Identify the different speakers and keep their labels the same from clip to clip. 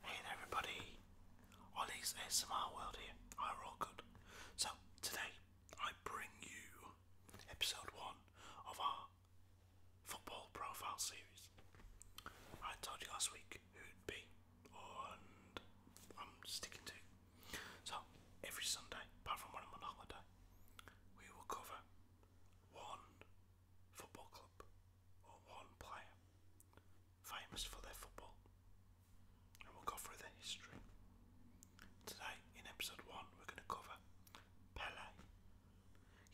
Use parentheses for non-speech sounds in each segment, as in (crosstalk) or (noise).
Speaker 1: Hey there everybody, Ollie's ASMR World here. Hi, we all good. So, today I bring you episode 1 of our football profile series. I told you last week who'd be, and I'm sticking to So, every Sunday, apart from when I'm on holiday, we will cover one football club or one player famous for their football. And we'll go through their history. Today, in episode 1, we're going to cover Pele.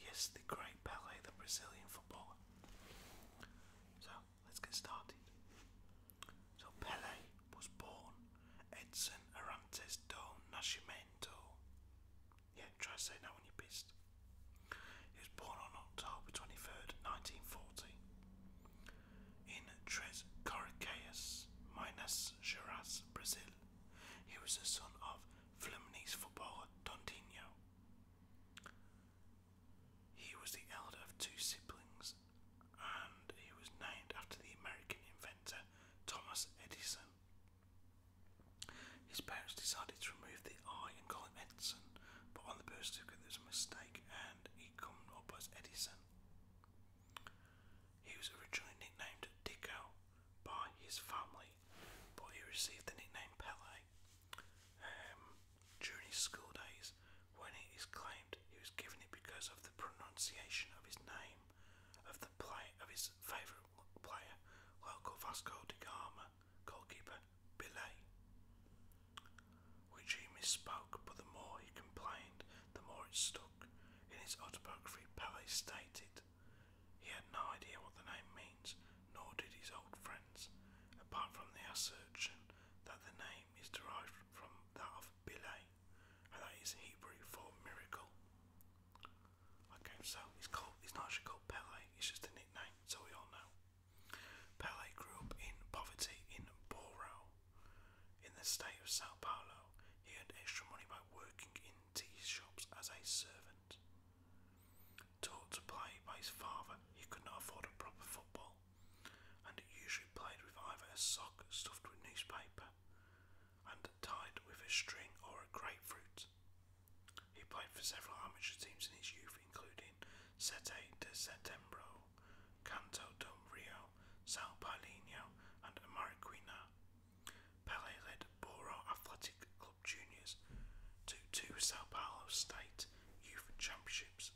Speaker 1: Yes, the great Pele, the Brazilian footballer. So, let's get started. So, Pele was born Edson Arantes do Nascimento yeah, try saying that when you're pissed. He was born on October 23rd, 1940, in Tres Correcaes, Minas Gerais, Brazil. He was the son of Fluminense footballer Dondinho. He was the elder of two siblings and he was named after the American inventor Thomas Edison. His parents decided to remove the I and call him Edison, but on the birth certificate there was a mistake and he came up as Edison. He was originally nicknamed "Dico" by his family, but he received the nickname Pele um, during his school days when it is claimed he was given it because of the pronunciation of his name of the play of his favourite player, local Vasco da Gama goalkeeper Billet, which he misspoke, but the more he complained, the more it stuck. In his autobiography, Palais stated he had no idea what the name means, nor did his old friends, apart from the assertion that the name is derived from that of Bilay, and that is Hebrew for miracle. Okay, so he's called he's actually called Pele, it's just a nickname, so we all know. Pele grew up in poverty in Boro, in the state of Sao Paulo. He earned extra money by working in tea shops as a servant. Taught to play by his father, he could not afford a proper football, and usually played with either a sock stuffed with newspaper and tied with a string or a grapefruit. He played for several amateur teams in his youth, including Sete de Setembro, Canto do Rio, Sao Paulinho, and Amariquina. Pele led Boro Athletic Club Juniors to two Sao Paulo State Youth Championships.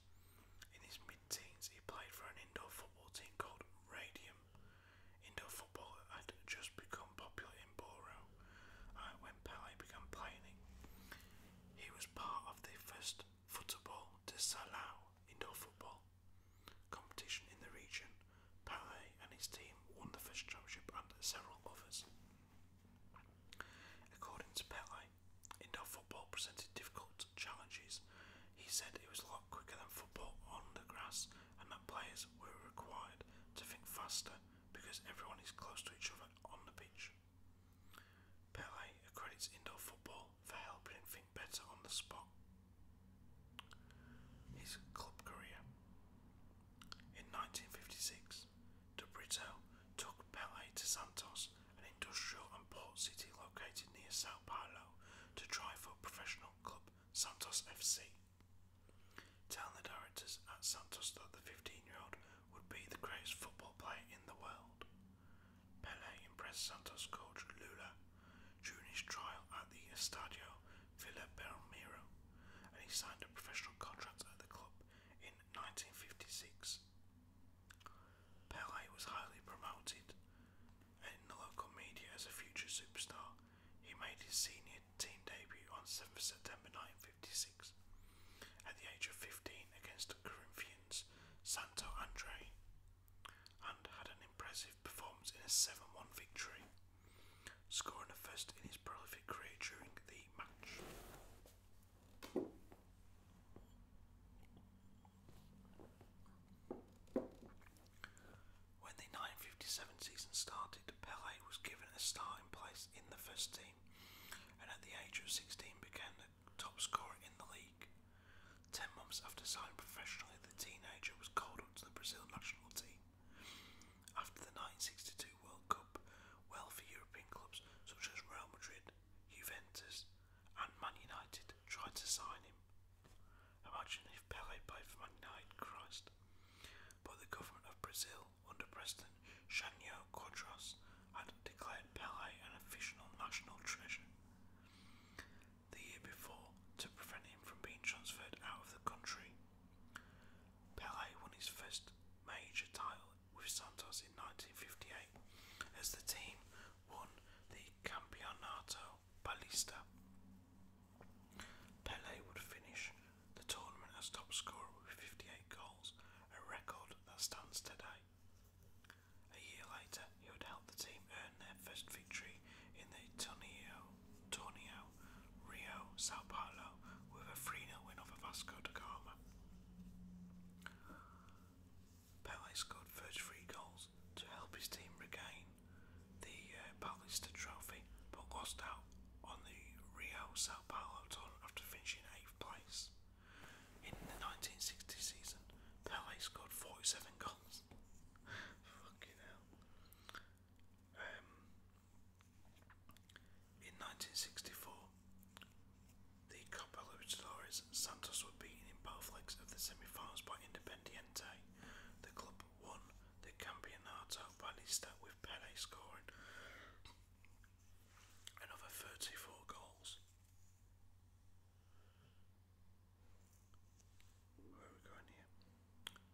Speaker 1: In his mid teens, he played for an indoor football team called Radium. Indoor football had just become popular in Boro. when Pele began playing, he was part of the first Football de indoor football competition in the region. Pele and his team won the first championship and several others. According to Pele, indoor football presented difficult challenges. He said it was a lot quicker than football on the grass and that players were required to think faster because everyone is close to each other on the pitch. Pele accredits indoor football for helping him think better on the spot. His club career. In 1956, De Brito took Pele to Santos, an industrial and port city located near Sao Paulo, to try for professional club Santos FC. Telling the directors at Santos that the 15 year old would be the greatest football player in the world. Pele impressed Santos coach Lula during his trial at the Estadio Villa Belmiro and he signed a professional contract at the club in 1956. Pele was highly promoted in the local media as a future superstar he made his senior team debut on 7 September 1956 at the age of 15 against Corinthians Santo Andre and had an impressive performance in a 7 1 victory, scoring the first in his prolific career during the match. When the 1957 season started, Pelé was given a starting place in the first team and at the age of 16 became the top scorer in the league. Ten months after signing professionally, the teenager was called up to the Brazil national team. After the 1962 World Cup, well wealthy European clubs such as Real Madrid, Juventus, and Man United tried to sign him. Imagine if Pele played for Man United, but the government of Brazil under President Jânio Quadros had declared Pelé an official national treasure the year before to prevent him from being transferred out of the country. Pelé won his first major title with Santos in 1958 as the team won the Campeonato Paulista. Pelé would finish the tournament's top scorer with 58 goals, a record that stands today. A year later, he would help the team earn their first victory in the Torneo, Rio Sao Paulo with a 3 win over Vasco da Gama. Pele scored first three goals to help his team regain the uh, Trophy, but lost out on the Rio Sao Paulo after finishing 8th place. In the 1960 season, Pele scored 47 goals. (laughs) Fucking hell. Um, in 1964, the Copa Libertadores, Santos were beaten in both legs of the semi-finals by Independiente. The club won the champion, Campeonato Paulista with Pele scoring another 34 goals. Where we going here?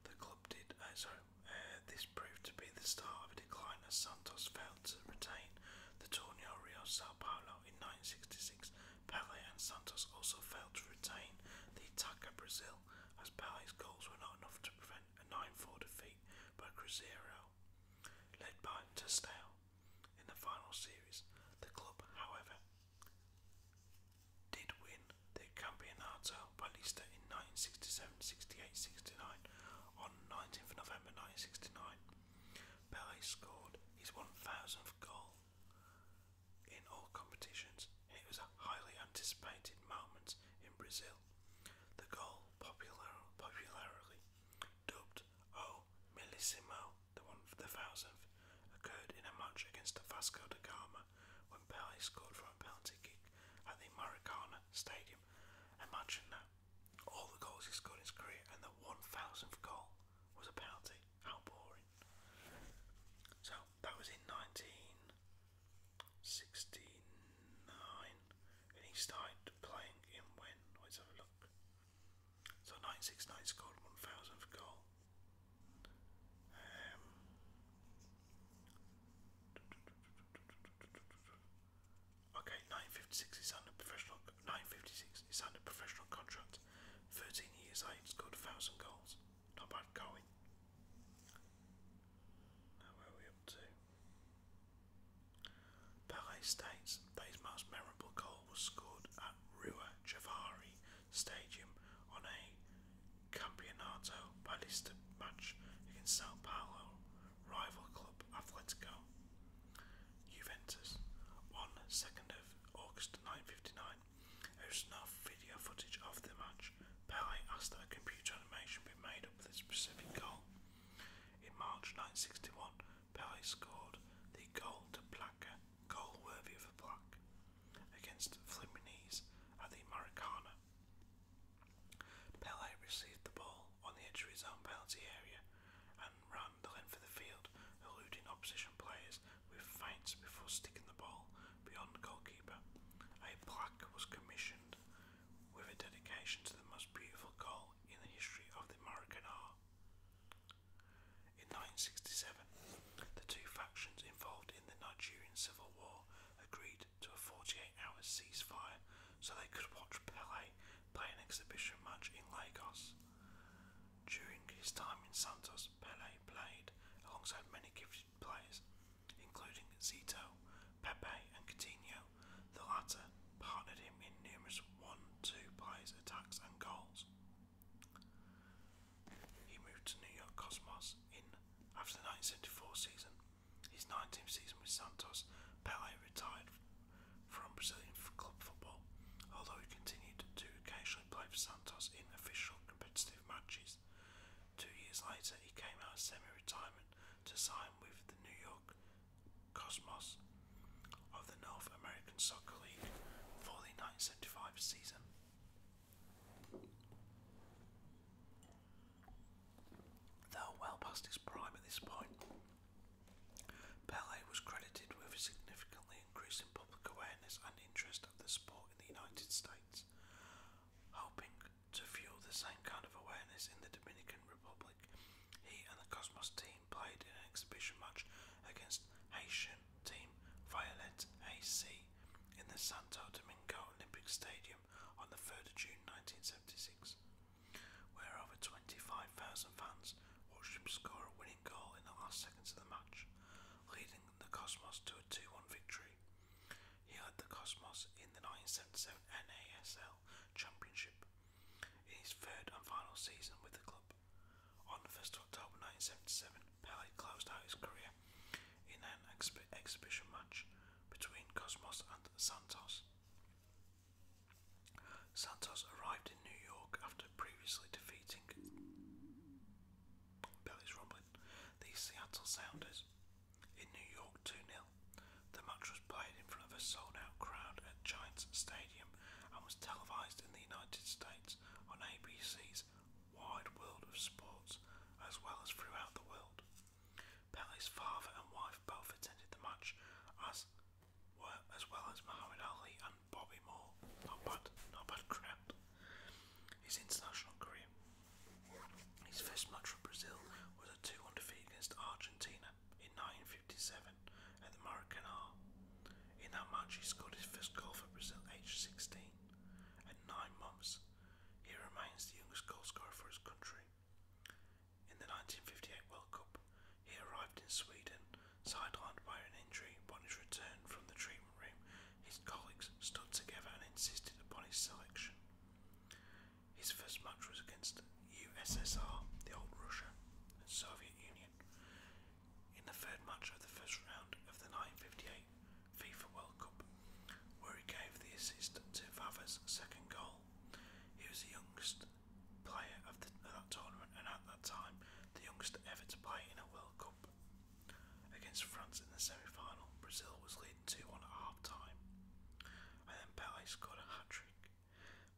Speaker 1: The club did, uh, uh, this proved to be the start of a decline as Santos failed to retain the Torneo Rio Sao Paulo in 1966. Pele and Santos also failed to retain the Itaca Brazil Brazil, as Pauli's goals were not enough to prevent a 9-4 defeat by Cruzeiro, led by Testao. In the final series, the club, however, did win the Campeonato Paulista in 1967, 68, 69 on 19th November 1969. Pele scored his 1000th goal in all competitions, it was a highly anticipated moment in Brazil. The goal, popularly dubbed O oh, Milissimo, the thousandth, occurred in a match against the Vasco da Gama when Pele scored from a penalty kick at the Maracana Stadium. Imagine that. All the goals he scored in his career, and the 1000th goal was a penalty. How boring. So that was in 19. 69. And he started playing in when? Let's have a look. So 969 scored 1000th goal. Um, okay, 956 is under professional. 956 is under professional contract. 13 years age, scored 1000 goals. Not bad going. Now where we up to? Palais states that his most memorable goal was scored at Rua Javari Stadium on a Campeonato Paulista match against Sao Paulo rival club Atletico. Juventus, on 2nd of August 1959, there's enough video footage of the match, allowing us that a computer animation be made up for this specific goal. In March 1961, Pele scored the goal to Placa, goal worthy of a plaque, against Fluminense at the Maracana. Pele received the ball on the edge of his own penalty area and ran the length of the field, eluding opposition players with feints before sticking the ball beyond goalkeeper. A plaque was commissioned with a dedication to the most beautiful goal in the history of the Moroccan art. In 1967, the two factions involved in the Nigerian Civil War agreed to a 48-hour ceasefire so they could watch Pelé play an exhibition match in Lagos. During his time in Santos, Pelé played alongside many gifted players, including Zito, Pepe, and Coutinho. The latter partnered him in numerous one-two plays, attacks, and goals. He moved to New York Cosmos in after the 1974 season. His 19th season with Santos, Pele retired from Brazilian club football, although he continued to occasionally play for Santos in official competitive matches. Two years later, he came out of semi retirement to sign with the New York Cosmos of the North American Soccer League for the 1975 season. Though well past his prime at this point, Pele was credited with a significantly increase public awareness and interest of the sport in the United States, hoping to fuel the same kind of awareness in the Dominican Republic. He and the Cosmos team played an exhibition match against Haitian team Violet AC in the Santo Domingo Olympic Stadium on the 3rd of June 1976, where over 25,000 fans watched him score a winning goal in the last seconds of the match, leading the Cosmos to a 2 1 victory. He led the Cosmos in the 1977 NASL Championship in his third and final season with the club. On the 1st of October 1977, Pele closed out his career in an exhibition match between Cosmos and Santos. Santos arrived in New York after previously defeating Billy's rumbling. The Seattle Sounders in New York 2 0. The match was played in front of a sold out crowd at Giants Stadium and was televised in the United States on ABC's Wide World of Sports as well as throughout the world. Pele's father and wife both attended the match, as, were, as well as Muhammad Ali and and Bobby Moore. Not bad, not bad crowd. His international career. His first match for Brazil was a 2 defeat against Argentina in 1957 at the Maracanã. In that match, he scored his first goal for Brazil aged 16. At nine months, he remains the youngest goalscorer for his country. In the 1958 World Cup, he arrived in Sweden Sidelined by an injury upon his return from the treatment room, his colleagues stood together and insisted upon his selection. His first match was against USSR, the old Russia, and Soviet Union. In the third match of the first round of the 1958 FIFA World Cup, where he gave the assist to Vava's second goal, he was the youngest player of that tournament and at that time the youngest ever to play in a World Cup. Against France in the semi-final, Brazil was leading 2-1 at half-time, and then Pelé scored a hat-trick,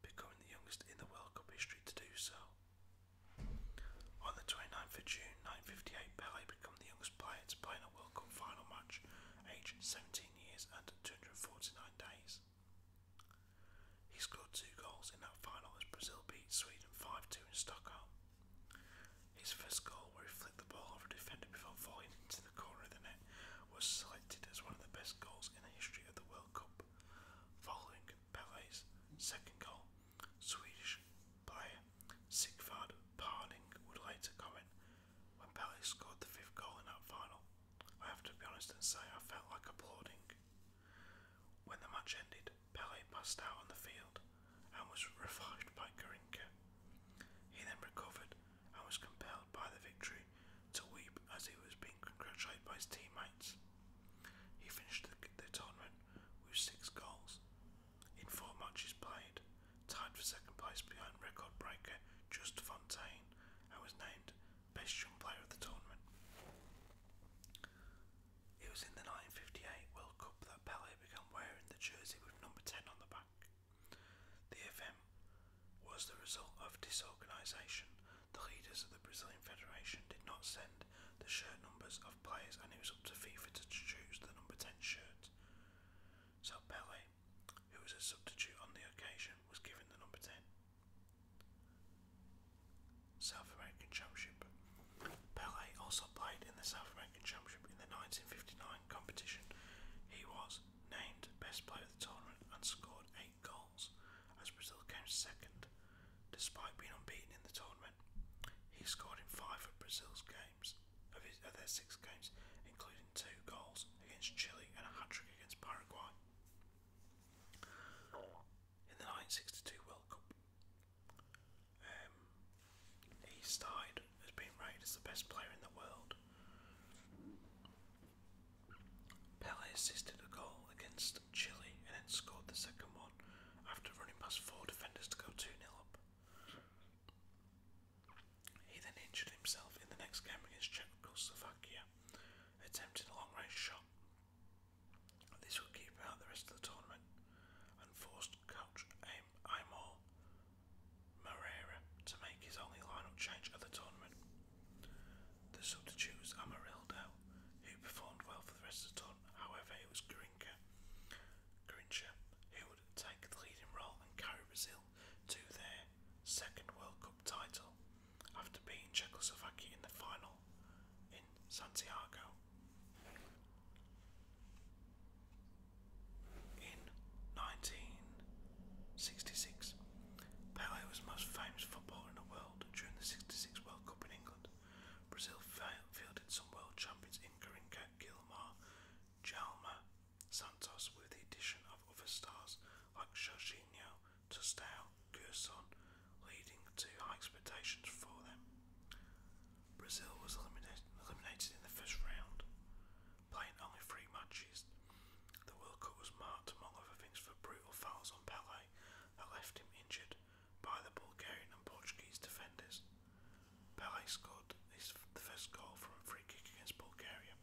Speaker 1: becoming the youngest in the World Cup history to do so. On the 29th of June 1958, Pelé became the youngest player to play in a World Cup final match, aged 17 years and 249 days. He scored two goals in that final as Brazil beat Sweden 5-2 in Stockholm. His first goal, where he flicked the ball over a defender before falling into the corner of the net, was selected as one of the best goals in the history of the World Cup, following Pele's second goal. Swedish player Sigvard Parning would later comment, when Pele scored the fifth goal in that final, I have to be honest and say I felt like applauding. When the match ended, Pele passed out on the field and was revived by Gorinka. He then recovered and was compelled by the victory to weep as he was being congratulated by his teammates. He finished the, the tournament with six goals in four matches played, tied for second place behind record breaker Just Fontaine, and was named Best Young Player of the Tournament. It was in the 1958 World Cup that Pele began wearing the jersey with number 10 on the back. The event was the result of disorganisation. The leaders of the Brazilian Federation did not send the shirt numbers of players, and it was up to FIFA to choose the number 10 shirt. So Pele, who was a substitute on the occasion, was given the number 10. South American Championship. Pelé also played in the South American Championship in the 1959 competition. He was named best player of the tournament and scored eight goals as Brazil came second. Despite being unbeaten in the tournament, he scored in five of Brazil's games, of, his, of their six games, including two goals against Chile and a hat trick against Paraguay. In the 1962 World Cup, um, he started as rated as the best player in the world. Pele assisted a goal against Chile and then scored the second one after running past four defenders to go 2 0 up. He then injured himself in the next game against Czechoslovakia, attempting a long range shot this would keep out the rest of the tournament and forced coach Aimor Moreira to make his only lineup change at the tournament. The substitute was Amarildo, who performed well for the rest of the tournament, however, it was Grinka, Grincha who would take the leading role and carry Brazil to their second World Cup title after beating Czechoslovakia in the final in Santiago. In 1966, Pele was most famous footballer in the world during the 66 World Cup in England. Brazil fielded some world champions Inca Inca, Gilmar, Jalma, Santos with the addition of other stars like Jorginho to Steaua Kherson, leading to high expectations for them. Brazil was eliminated, eliminated in the first round, playing only three matches. The World Cup was marked, among other things, for brutal fouls on Pele that left him injured by the Bulgarian and Portuguese defenders. Pele scored his the first goal from a free kick against Bulgaria,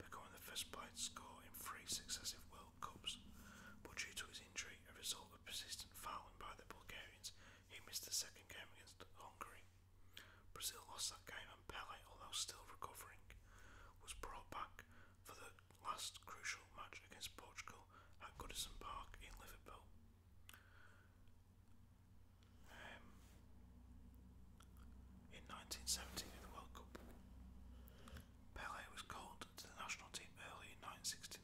Speaker 1: becoming the first player to score in three successive World but due to his injury, a result of persistent fouling by the Bulgarians, he missed the second game against Hungary. Brazil lost that game, and Pele, although still recovering, was brought back for the last crucial match against Portugal at Goodison Park in Liverpool. Um, in 1970, the World Cup, Pele was called to the national team early in 1969.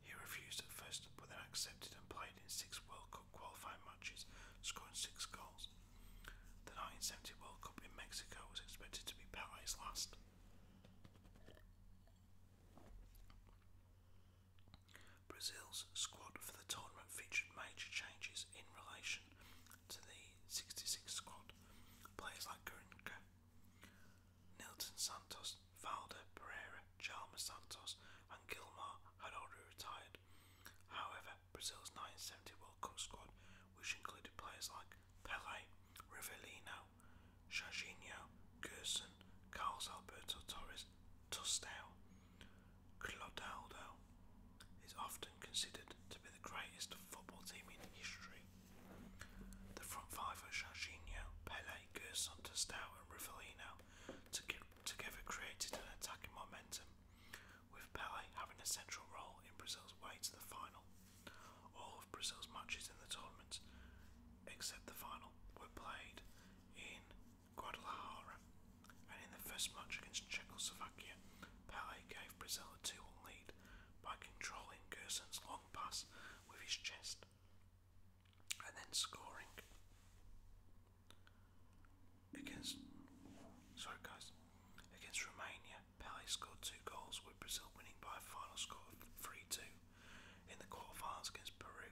Speaker 1: He refused at first, but then accepted and played in six World Cup qualifying matches, scoring six goals. The 1970 World Cup in Mexico was expected to be Pele's last. Brazil's squad for the tournament featured major changes in relation to the 1966 squad. Players like Gurinka, Nilton Santos, Valder, Pereira, Chalmers Santos, and Gilmar had already retired. However, Brazil's 1970 World Cup squad, which included players like Pelé, Rivellino, Jorginho, Gerson, Carlos Alberto Torres, Tostão, Clodaldo, is often considered to be the greatest football team in history. The front five are Jorginho, Pele, Gerson, Tostao, and Rivellino together created an attacking momentum, with Pele having a central role in Brazil's way to the final. All of Brazil's matches in the tournament, except the final, were played in Guadalajara, and in the first match against Czechoslovakia, Pele gave Brazil a 2 lead side by controlling Gerson's long pass with his chest and then scoring. Against sorry guys, against Romania, Pele scored two goals with Brazil winning by a final score of 3-2 in the quarterfinals against Peru.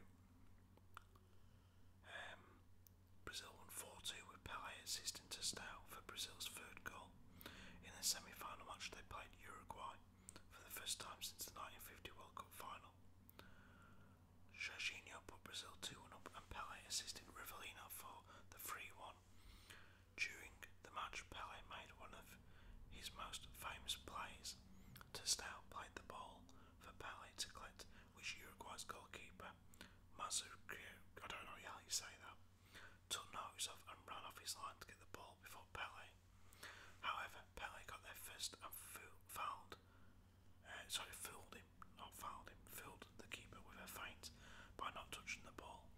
Speaker 1: Um, Brazil won 4-2 with Pele assisting centre style for Brazil's third goal. In the semi final match, they played Uruguay for the first time since the 1950 World Cup final. Jorginho put Brazil 2 1 up, and Pele assisted Rivellino for the free 1. During the match, Pele made one of his most famous plays. To Testao played the ball for Pele to collect, which Uruguay's goalkeeper, Mazur, I don't know how you say that, took notice of and ran off his line to get the ball before Pele. However, Pele got there first and fouled. Uh, sorry, fooled him, not fouled him, fooled the keeper with a feint by not touching the ball,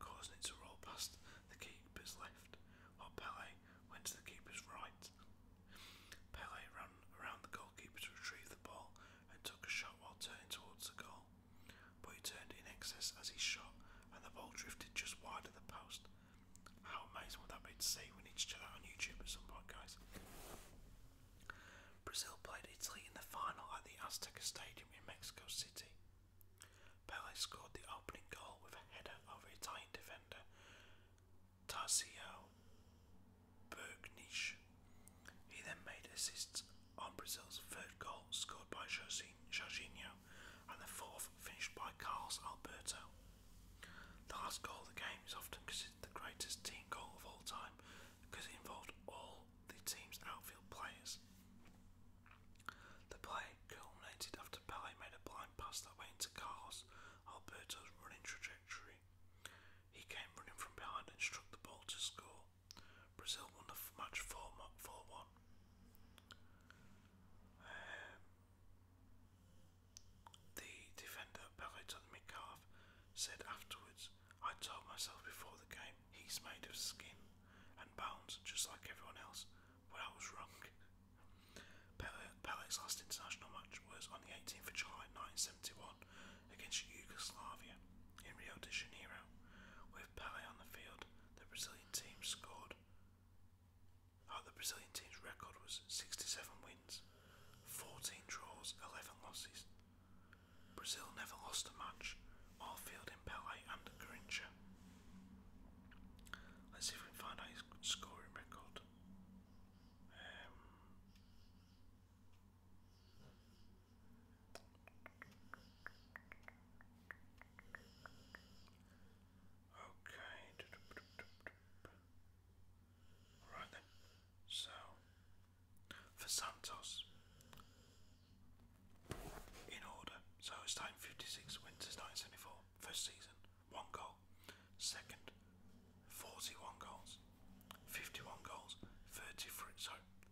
Speaker 1: causing it to roll past the keeper's left, while Pele went to the keeper's right. Pele ran around the goalkeeper to retrieve the ball and took a shot while turning towards the goal. But he turned in excess as he shot, and the ball drifted just wide of the post. How amazing would that be to see? We need to check on YouTube at some point, guys. Brazil played Italy in the final at the Azteca Stadium in Mexico City. Pele scored the opening goal with a header over Italian defender Tarsio Bergnisch. He then made assists on Brazil's third goal scored by Jorginho and the fourth finished by Carlos Alberto. The last goal of the game is often considered the greatest team goal of all time because it involved all the team's outfield players. The play culminated after Pele made a blind pass that went into Carlos Alberto's running trajectory. He came running from behind and struck the ball to score. Brazil won the match 4 um, the defender, Pellet on mid calf, said afterwards, I told myself before the game he's made of skin and bones just like everyone else, but I was wrong. (laughs) Pellet's last international match was on the 18th of July 1971 against Yugoslavia in Rio de Janeiro, Pele on the field, the Brazilian team scored. Uh, the Brazilian team's record was 67 wins, 14 draws, 11 losses. Brazil never lost a match, all fielding Pele and Garrincha. Let's see if we find his scoring record. Um, Okay. Alright then. So, for Santos, in order, so starting 56, Winters 1974, first season, 1 goal, second, 41 goals, 51 goals, 33, sorry,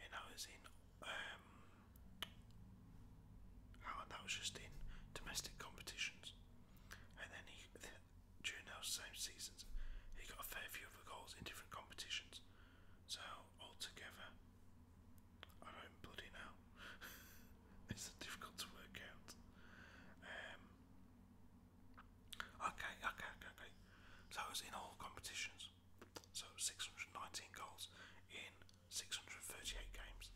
Speaker 1: and I was in. Um, that was just in domestic competitions, and then during those same seasons he got a fair few other goals in different competitions. So altogether, I don't bloody know. (laughs) it's difficult to work out. Um, okay, okay, okay, okay. So I was in all competitions. So 619 goals in 638 games.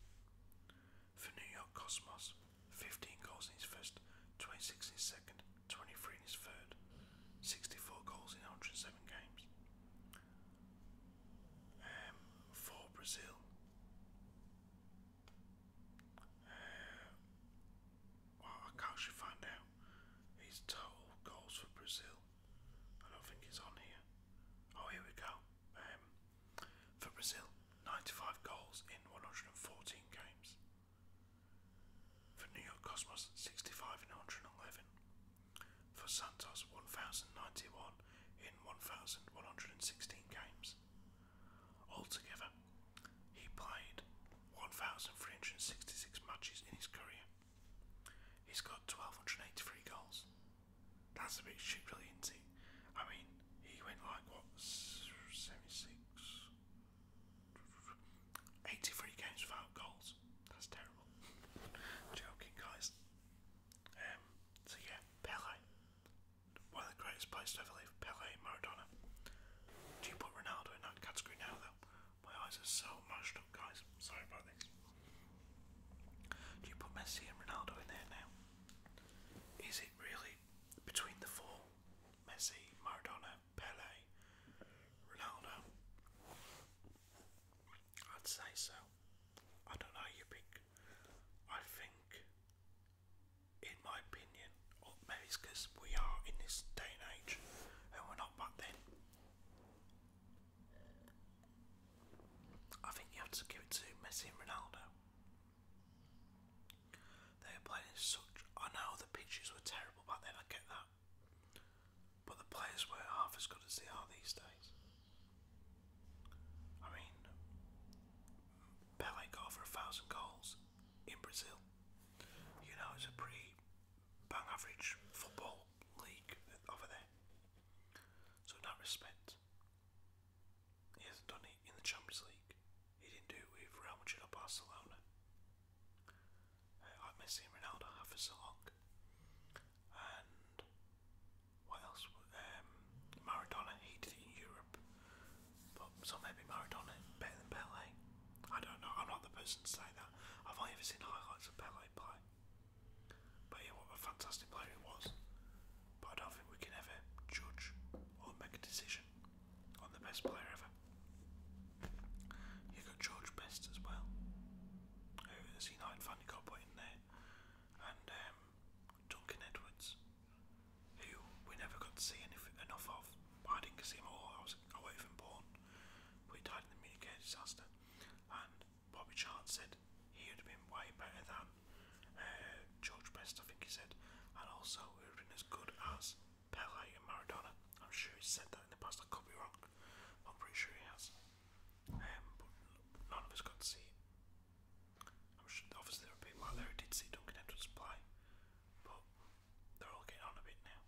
Speaker 1: For New York Cosmos, 15 goals in his first, 26 in his second, 23 in his third, 64 goals in 107 games. Um, for Brazil, uh, well, I can't He's tall goals for Brazil. I don't think it's on here. Oh, here we go. Um, for Brazil, 95 goals in 114 games. For New York Cosmos, 65 in 111. For Santos, 1,091 in 1,116 games. Altogether, he played 1,366 matches in his career. He's got 1,283 goals. That's a big shit, really, isn't it? I mean, he went like, what, 76? 83 games without goals. That's terrible. (laughs) Joking, guys. Um, so yeah, Pele. One of the greatest players to ever live. Pele, Maradona. Do you put Ronaldo in that category now, though? My eyes are so mushed up, guys. Sorry about this. Do you put Messi and Ronaldo in there now? Is it really between the four? Messi, Maradona, Pele, Ronaldo? I'd say so. I don't know you pick. I think, in my opinion, maybe it's because we are in this day and age and we're not back then. I think you have to give it to Messi and Ronaldo. They were playing such. I know the pitches were terrible back then, I get that. But the players were half as good as they are these days. I mean, Pele got over a thousand goals in Brazil. You know, it's a pretty bang average football league over there. So in respect, he has done it in the Champions League. He didn't do it with Real Madrid or Barcelona. Uh, like Messi Ronaldo have for long. And what else? Um, Maradona, he did it in Europe. But so maybe Maradona better than Pele. I don't know, I'm not the person to say that. I've only ever seen highlights of Pele play. But yeah, what a fantastic player he was. But I don't think we can ever judge or make a decision on the best player ever. You got George Best as well, who is a United fan got put in there, and um, Duncan Edwards, who we never got to see enough of. I didn't see him all. I was away from Bourne, who died in the Munich disaster. And Bobby Charlton said he would have been way better than uh, George Best, I think he said, and also he would have been as good as Pele and Maradona. I'm sure he said that in the past, I could be wrong, I'm pretty sure he has. Um, but none of us got to see I'm sure, obviously, there were people out there who did see Duncan Edwards play, but they're all getting on a bit now.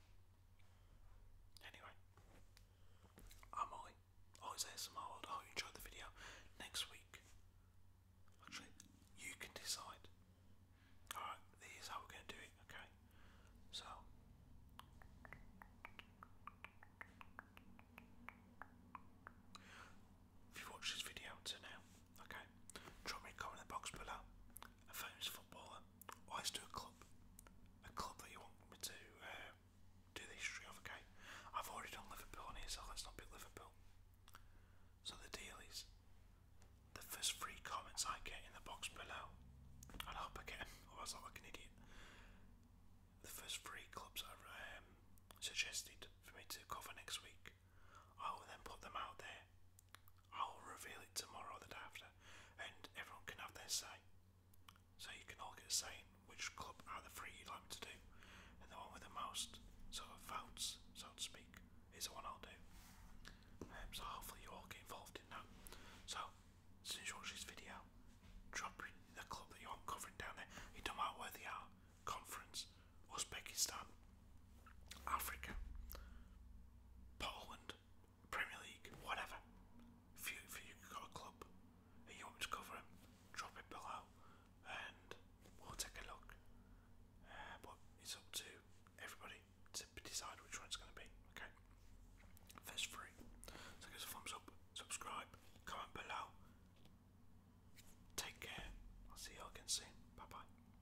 Speaker 1: Anyway, I'm Ollie. Ollie's ASMR World. I hope you enjoyed the video. Next week, actually, you can decide. Alright, this how we're going to do it, okay? So. If you've this video to now, Okay. Drop me comment in the box below. A famous footballer. Or let a club. A club that you want me to uh, do the history of, okay? I've already done Liverpool on here, so let's not be Liverpool. So the deal is the first three comments I get in the box below, I hope I get (laughs) otherwise I look an idiot. The first three clubs are um, suggested for me to cover next week. I will then put them out there I'll reveal it tomorrow or the day after, and everyone can have their say. So you can all get a say which club out of the three you'd like me to do, and the one with the most sort votes, so to speak, is the one I'll do. Um, so hopefully you all get involved in that. So, as soon as you watch this video, drop in the club that you want covering down there. It don't matter where they are, conference, Uzbekistan, Africa, Poland, Premier League, whatever. If you if you got a club and you want to cover them, drop it below, and we'll take a look. Uh, but up to everybody to decide which one it's going to be. Okay. First free. So give us a thumbs up, subscribe, comment below. Take care. I'll see you all again soon.
Speaker 2: Bye bye.